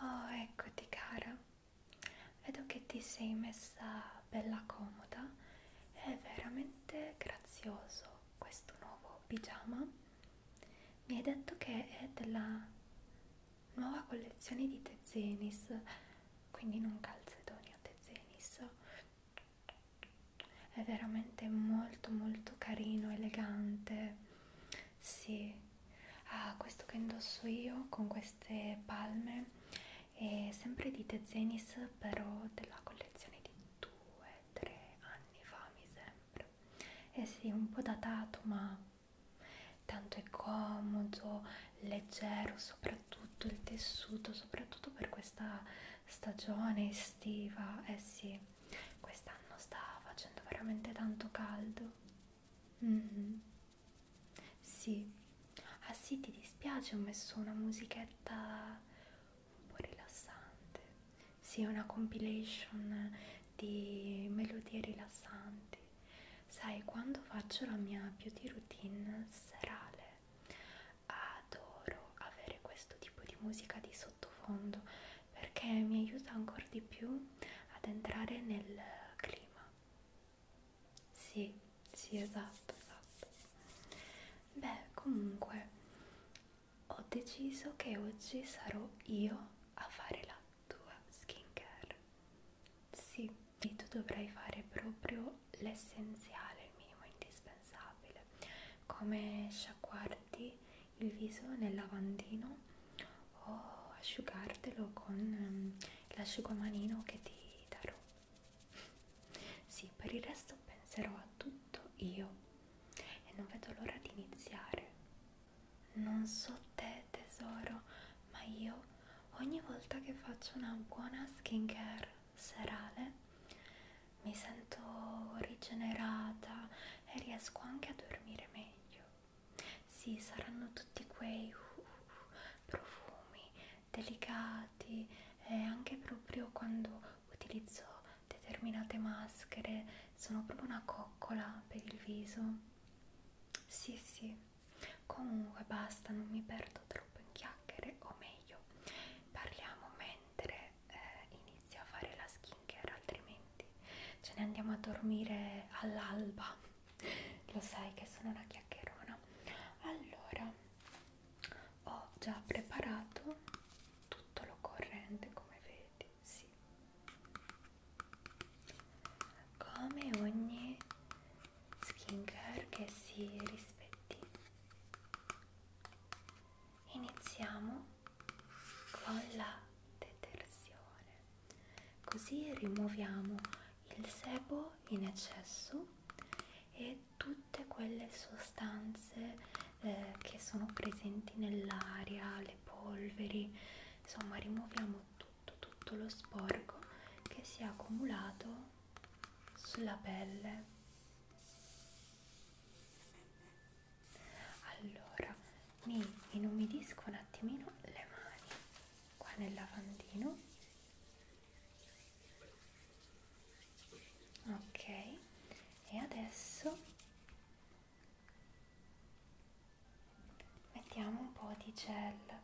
Oh, eccoti cara. Vedo che ti sei messa bella comoda. È veramente grazioso questo nuovo pigiama. Mi hai detto che è della nuova collezione di Tezenis, quindi non calzedonia Tezenis è veramente molto molto carino, elegante, sì, ah, questo che indosso io con queste palme è sempre di Tezenis però della collezione di 2-3 anni fa mi sembra, eh sì, un po' datato ma tanto è comodo, leggero soprattutto il tessuto, soprattutto per questa stagione estiva, eh sì, quest'anno sta facendo veramente tanto caldo. Mm-hmm. Sì, ah sì, ti dispiace, ho messo una musichetta un po' rilassante. Sì, una compilation di melodie rilassanti. Sai, quando faccio la mia beauty routine serale adoro avere questo tipo di musica di sottofondo perché mi aiuta ancora di più ad entrare nel clima sì sì esatto esatto beh comunque ho deciso che oggi sarò io a fare la tua skincare sì e tu dovrai fare proprio l'essenziale il minimo indispensabile come sciacquarti il viso nel lavandino o asciugartelo con ehm, l'asciugamanino che ti darò. Sì, per il resto penserò a tutto io e non vedo l'ora di iniziare. Non so te tesoro, ma io ogni volta che faccio una buona skincare serale mi sento rigenerata e riesco anche a dormire meglio. Sì, saranno tutti quei uh, uh, uh, profumi delicati e anche proprio quando utilizzo determinate maschere sono proprio una coccola per il viso. Sì, sì. Comunque basta, non mi perdo troppo in chiacchiere, o meglio, parliamo meno mentre eh, inizio a fare la skincare, altrimenti ce ne andiamo a dormire all'alba. Lo sai che sono una chiacchierona. Allora, ho già preparato tutto l'occorrente, come vedi, sì. Come ogni skincare che si rispetti iniziamo con la detersione così rimuoviamo il sebo in eccesso e tutte quelle sostanze eh, che sono presenti nell'aria le polveri insomma rimuoviamo tutto tutto lo sporco che si è accumulato sulla pelle allora mi inumidisco un attimino le mani qua nel lavandino ok e adesso mettiamo un po' di gel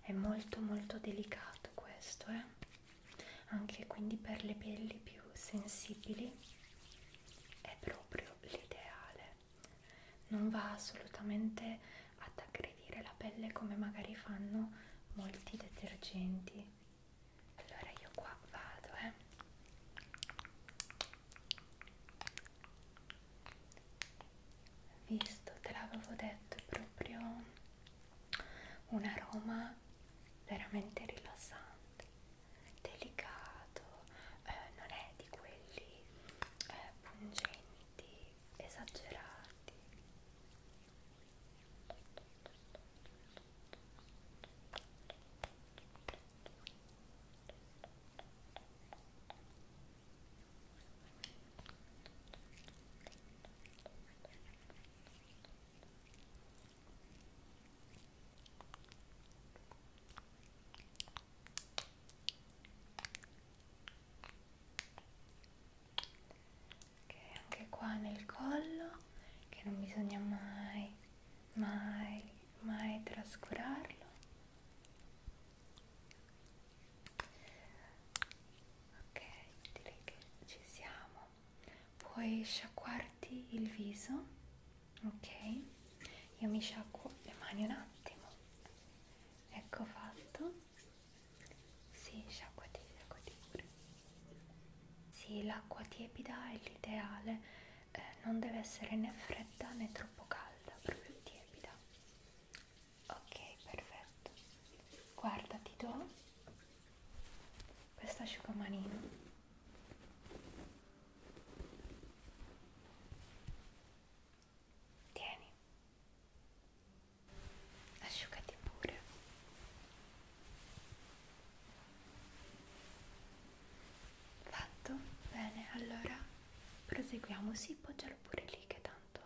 è molto molto delicato questo, eh? Anche quindi per le pelli più sensibili è proprio l'ideale. Non va assolutamente ad aggredire la pelle come magari fanno molti detergenti. Allora io qua vado, eh visto te l'avevo detto è proprio un aroma veramente rilassante delicato eh, non è di quelli eh, pungenti esagerati Ok, anche qua nel collo che non bisogna mai, mai, mai trascurarlo ok direi che ci siamo puoi sciacquarti il viso ok io mi sciacquo le mani un attimo ecco fatto sì sciacquati sciacquati pure sì l'acqua tiepida è l'ideale eh, non deve essere né fredda né troppo calda, proprio tiepida. Ok, perfetto. Guarda, ti do questo asciugamanino. Tieni. Asciugati pure. Fatto? Bene, allora proseguiamo. Sì, poggialo pure lì che tanto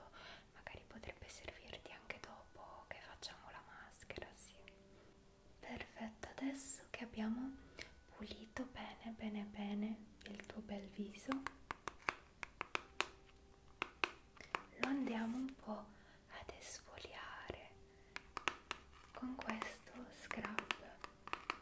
magari potrebbe servirti anche dopo che facciamo la maschera, sì. Perfetto, adesso che abbiamo pulito bene, bene, bene il tuo bel viso, lo andiamo un po' ad esfoliare con questo scrub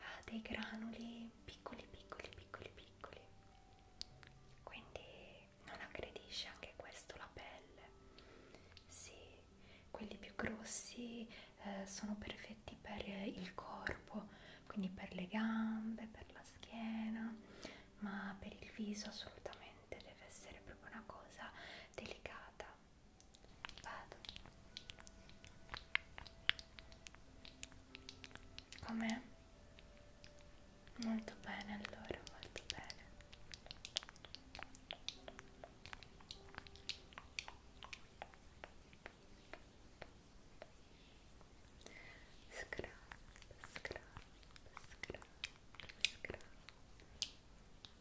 ha dei granuli piccoli piccoli piccoli piccoli quindi non aggredisce anche questo la pelle sì quelli più grossi eh, sono perfetti per il corpo quindi per le gambe per la schiena ma per il viso assolutamente deve essere proprio una cosa delicata Vado. Com'è? Molto bene allora, molto bene. Scrap, scrap, scrap, scrap.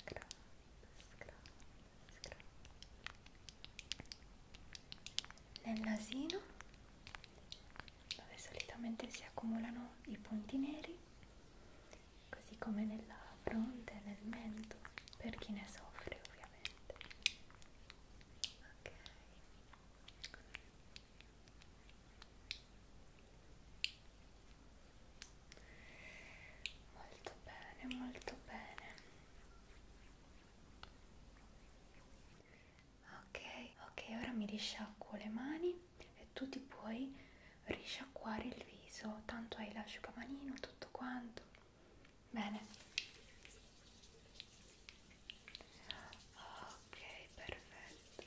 scrub, scrub, scrub. nel nasino dove solitamente si accumulano i punti neri così come nella fronte, nel mento per chi ne soffre ovviamente ok Molto bene, molto bene. Ok, ok, ora mi risciacquo le mani e tu ti puoi risciacquare il viso, tanto hai l'asciugamanino, tutto quanto. Bene. Ok, perfetto.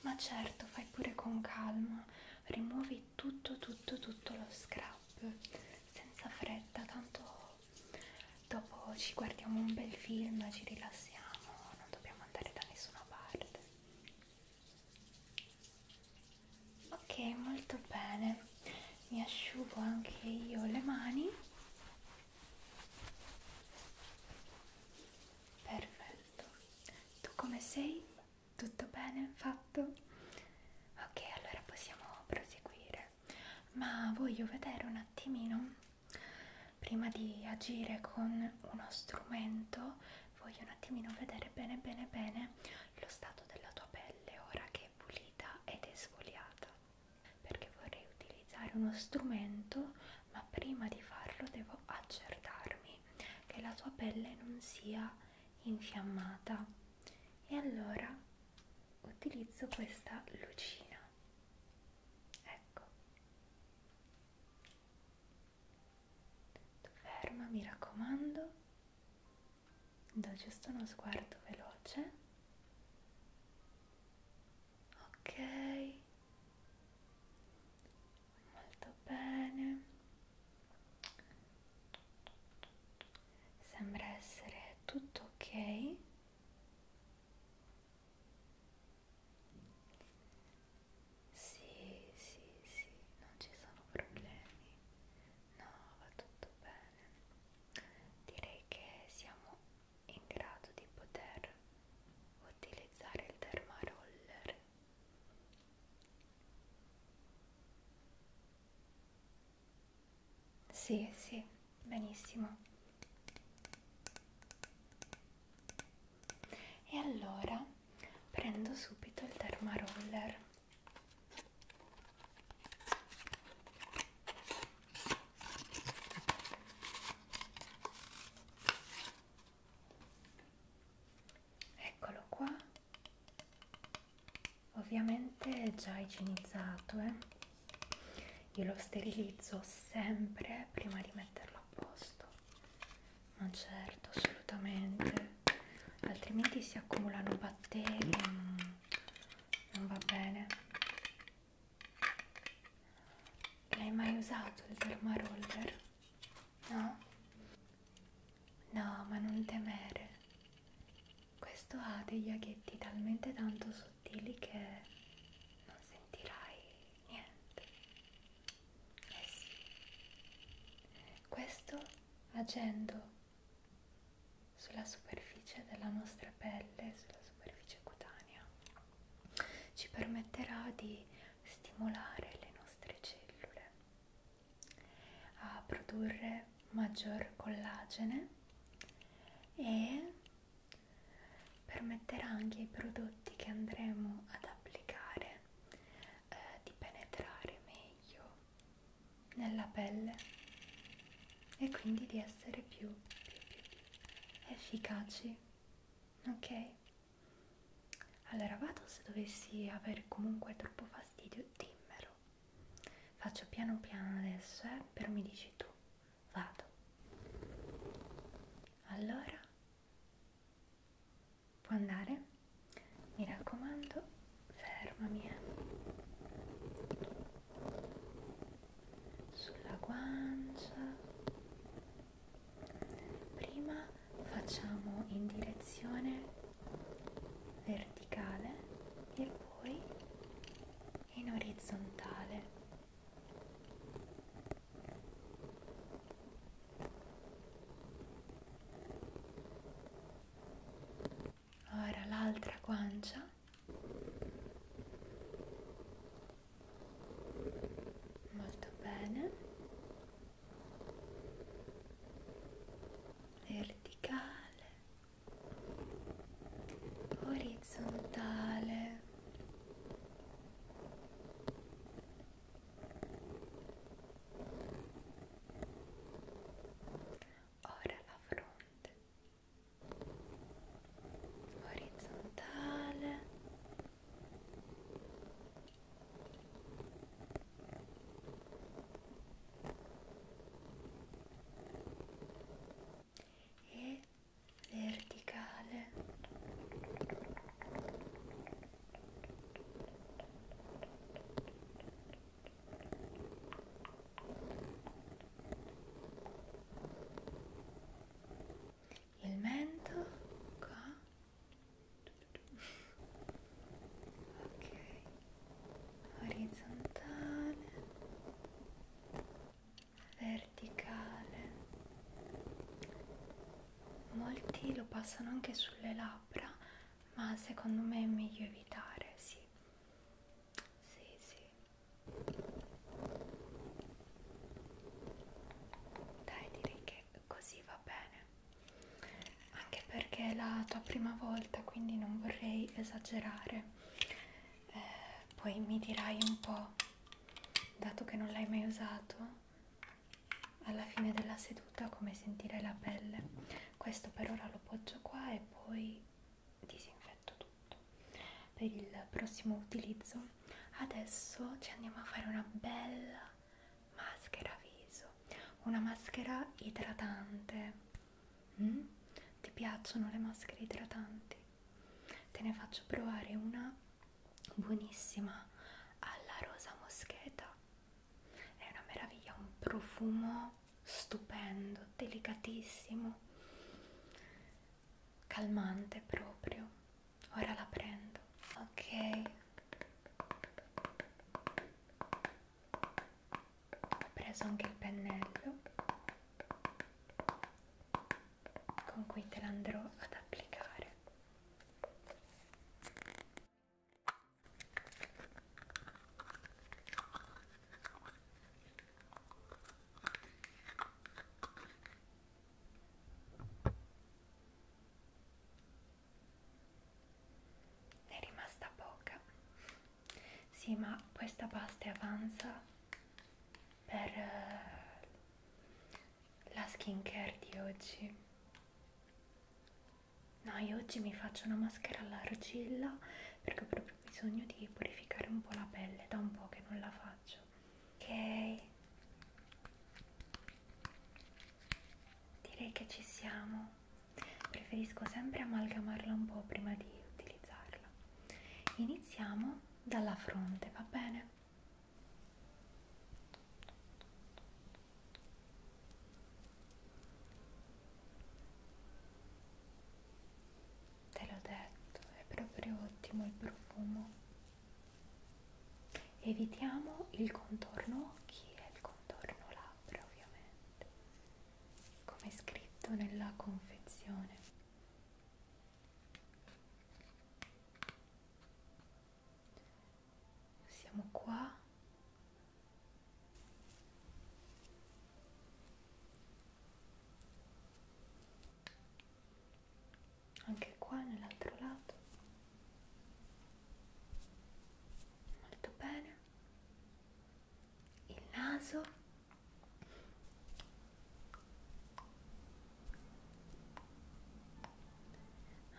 Ma certo, fai pure con calma, rimuovi tutto, tutto, tutto lo scrub, senza fretta, tanto dopo ci guardiamo un bel film, ci rilassiamo, non dobbiamo andare da nessuna parte. Ok, molto bene, mi asciugo anche io le mani. Perfetto. Tu come sei? Tutto bene fatto? Ok, allora possiamo proseguire. Ma voglio vedere un attimino, prima di agire con uno strumento, voglio un attimino vedere bene bene bene lo stato della tua pelle ora che è pulita ed esfoliata. Perché vorrei utilizzare uno strumento, ma prima di farlo devo accertarmi problemi che la tua pelle non sia infiammata e allora utilizzo questa lucina ecco tu ferma mi raccomando do giusto uno sguardo veloce ok molto bene sembra essere tutto ok sì sì sì non ci sono problemi no va tutto bene direi che siamo in grado di poter utilizzare il dermaroller sì, sì, benissimo. E allora prendo subito il dermaroller eccolo qua ovviamente è già igienizzato eh? io lo sterilizzo sempre prima di metterlo a posto ma certo assolutamente altrimenti si accumulano batteri non, mm, non va bene l'hai mai usato il dermaroller? No? No, ma non temere. Questo ha degli aghetti talmente tanto sottili che non sentirai niente. Eh sì. Questo agendo sulla superficie della nostra pelle, sulla superficie cutanea, ci permetterà di stimolare le nostre cellule a produrre maggior collagene e permetterà anche ai prodotti che andremo ad applicare eh, di penetrare meglio nella pelle e quindi di essere più, più, più efficaci ok allora vado, se dovessi avere comunque troppo fastidio, dimmelo. Faccio piano piano adesso, eh, però mi dici tu. Vado. Allora, può andare? Mi raccomando, fermami. Eh. Sulla guancia. Prima facciamo in direzione verticale e poi in orizzontale ora l'altra guancia molto bene verticale, orizzontale. Ora la fronte orizzontale e verticale il mento qua ok orizzontale verticale molti lo passano anche sulle labbra ma secondo me è meglio evitare sì sì sì dai direi che è così va bene anche perché è la tua prima volta quindi non vorrei esagerare eh, poi mi dirai un po' dato che non l'hai mai usato alla fine della seduta come sentire la pelle questo per ora lo poggio qua e poi disinfetto tutto per il prossimo utilizzo adesso ci andiamo a fare una bella maschera viso una maschera idratante mm? ti piacciono le maschere idratanti? te ne faccio provare una buonissima alla rosa moscheta è una meraviglia un profumo stupendo delicatissimo calmante proprio ora la prendo ok ho preso anche il pennello con cui te l'andrò ad applicare ne è rimasta poca. Sì, ma questa pasta avanza per uh, la skincare di oggi. No, io oggi mi faccio una maschera all'argilla perché ho proprio bisogno di purificare un po' la pelle, da un po' che non la faccio. Ok. Direi che ci siamo preferisco sempre amalgamarla un po' prima di utilizzarla iniziamo dalla fronte va bene te l'ho detto è proprio ottimo il profumo evitiamo il contorno occhi e il contorno contorno labbra ovviamente come è scritto nella confezione siamo qua anche qua nell'altro lato molto bene il naso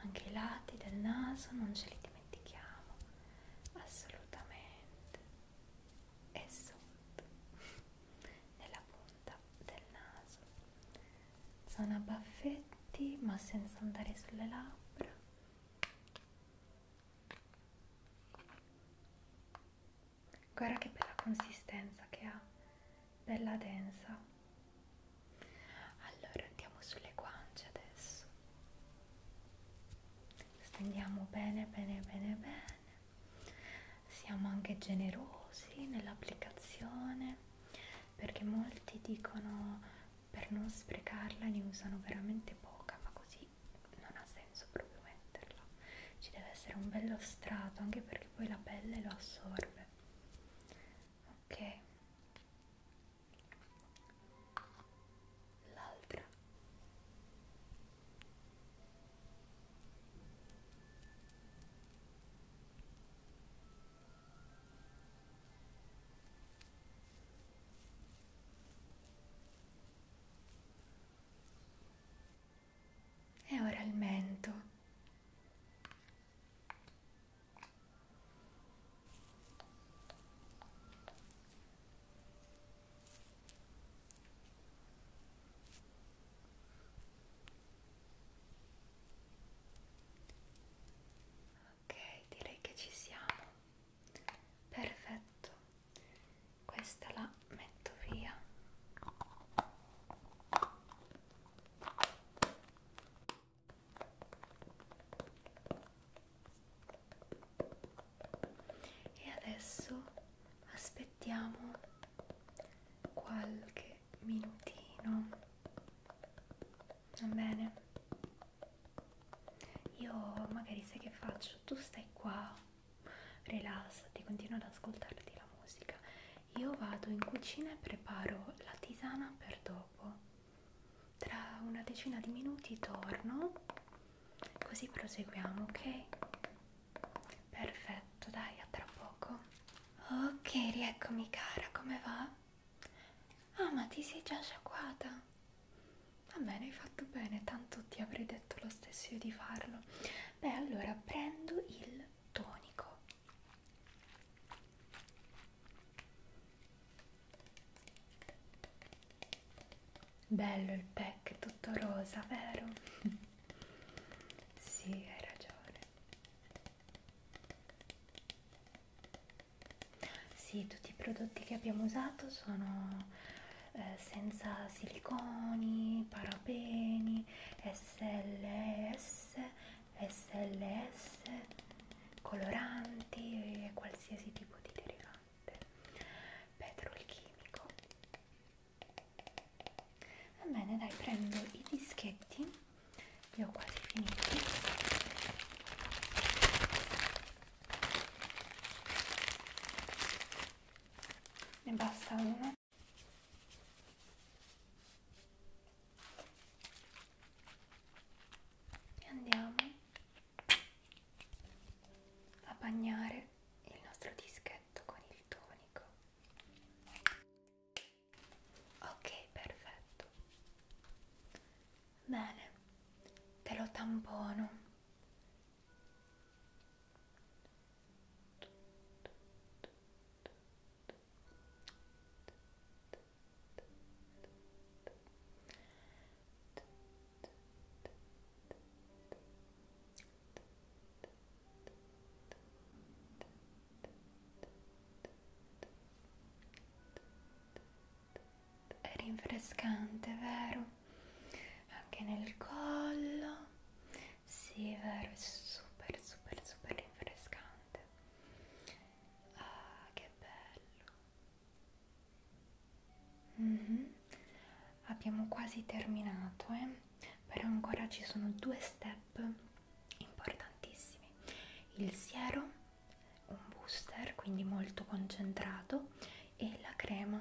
anche i lati del naso non ce li dimentichiamo assolutamente e sotto nella punta del naso zona baffetti ma senza andare sulle labbra Guarda che bella consistenza che ha, bella densa. Allora andiamo sulle guance adesso. Stendiamo bene, bene, bene, bene. Siamo anche generosi nell'applicazione perché molti dicono per non sprecarla ne usano veramente poca ma così non ha senso proprio metterla ci deve essere un bello strato anche perché poi la pelle lo assorbe ok l'altra e ora il mento. Ok, direi che ci siamo perfetto questa la metto via e adesso aspettiamo qualche minutino va bene io magari sai che faccio? Tu stai qua, rilassati, continua ad ascoltarti la musica. Io vado in cucina e preparo la tisana per dopo. Tra una decina di minuti torno, così proseguiamo, ok? Perfetto, dai, a tra poco. Ok, rieccomi cara, come va? Ah, ma ti sei già sciacquata? Va bene, hai fatto bene, tanto ti avrei detto lo stesso io di farlo. Beh, allora prendo il tonico. Bello il pack, tutto rosa, vero? sì, hai ragione. Sì, tutti i prodotti che abbiamo usato sono eh, senza siliconi, parabeni, SLS, SLS, coloranti e qualsiasi tipo di derivante. Petrolchimico. Va bene, dai, prendo i dischetti, li ho quasi finiti ne basta uno e andiamo a bagnare il nostro dischetto con il tonico ok perfetto Bene, te lo tampono. Bene, è rinfrescante, vero? Anche nel collo, sì, è vero, è super, super, super rinfrescante. Ah, che bello! Mm -hmm. Abbiamo quasi terminato, eh? però ancora ci sono due step importantissimi: il siero un booster quindi molto concentrato e la crema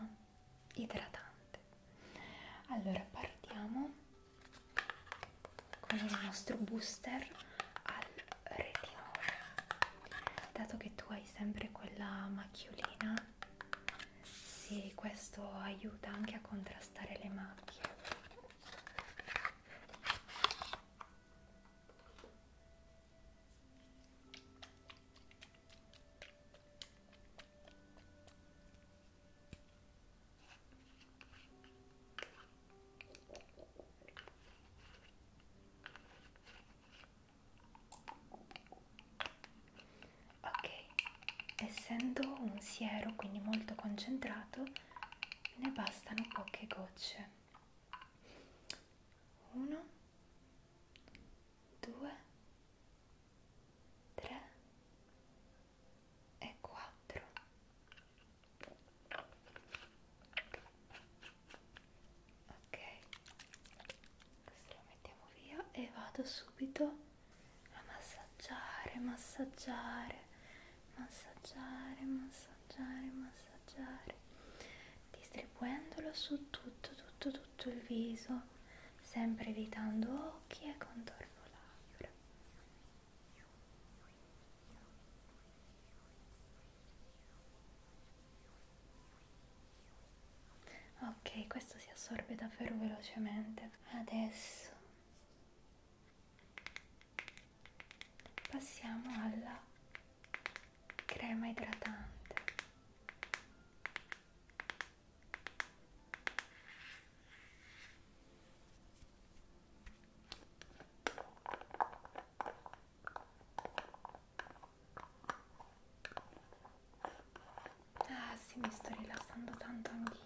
idratante allora partiamo con il nostro booster al retinolo dato che tu hai sempre quella macchiolina sì questo aiuta anche a contrastare le macchie Ok, essendo un siero quindi molto concentrato, ne bastano poche gocce. 1 due, tre e quattro. Ok, questo lo mettiamo via e vado subito a massaggiare, massaggiare, massaggiare, massaggiare massaggiare, massaggiare, distribuendolo su tutto, tutto, tutto il viso, sempre evitando occhi e contorno labbra. Ok, questo si assorbe davvero velocemente. Adesso passiamo alla crema idratante Ah sì, mi sto rilassando tanto anch'io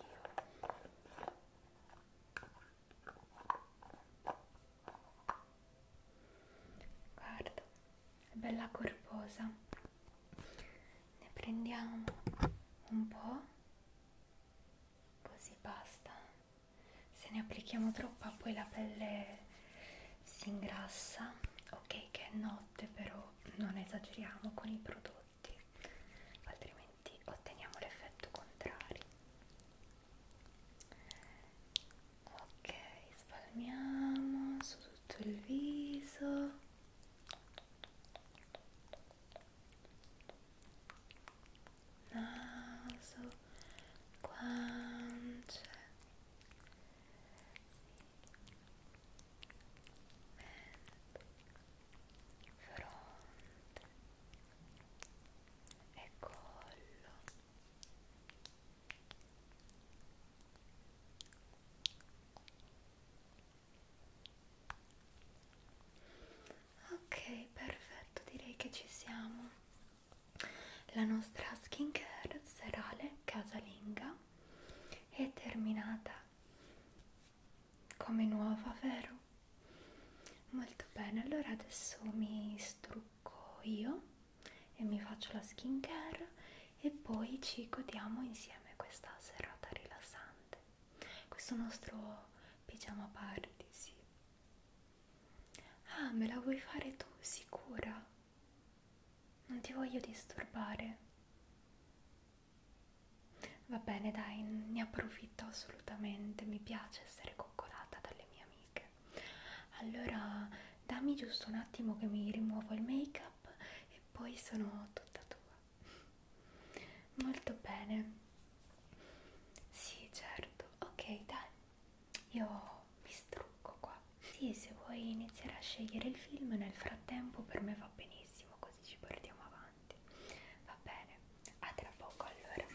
guarda è bella corposa ne prendiamo un po' così basta se ne applichiamo troppa poi la pelle si ingrassa ok che è notte però non esageriamo con i prodotti altrimenti otteniamo l'effetto contrario ok spalmiamo su tutto il viso naso guance sì. mente fronte e collo Ok, perfetto, direi che ci siamo. La nostra skincare serale casalinga è terminata come nuova, vero? Molto bene, allora adesso mi strucco tocco io e mi faccio la skincare e poi ci godiamo insieme questa serata rilassante questo nostro pigiama party sì ah me la vuoi fare tu sicura non ti voglio disturbare va bene dai ne approfitto assolutamente mi piace essere coccolata dalle mie amiche allora dammi giusto un attimo che mi rimuovo il make up e poi sono tutta tua molto bene sì certo ok dai io mi strucco qua sì se vuoi iniziare a scegliere il film nel frattempo per me va benissimo così ci portiamo avanti va bene a tra poco allora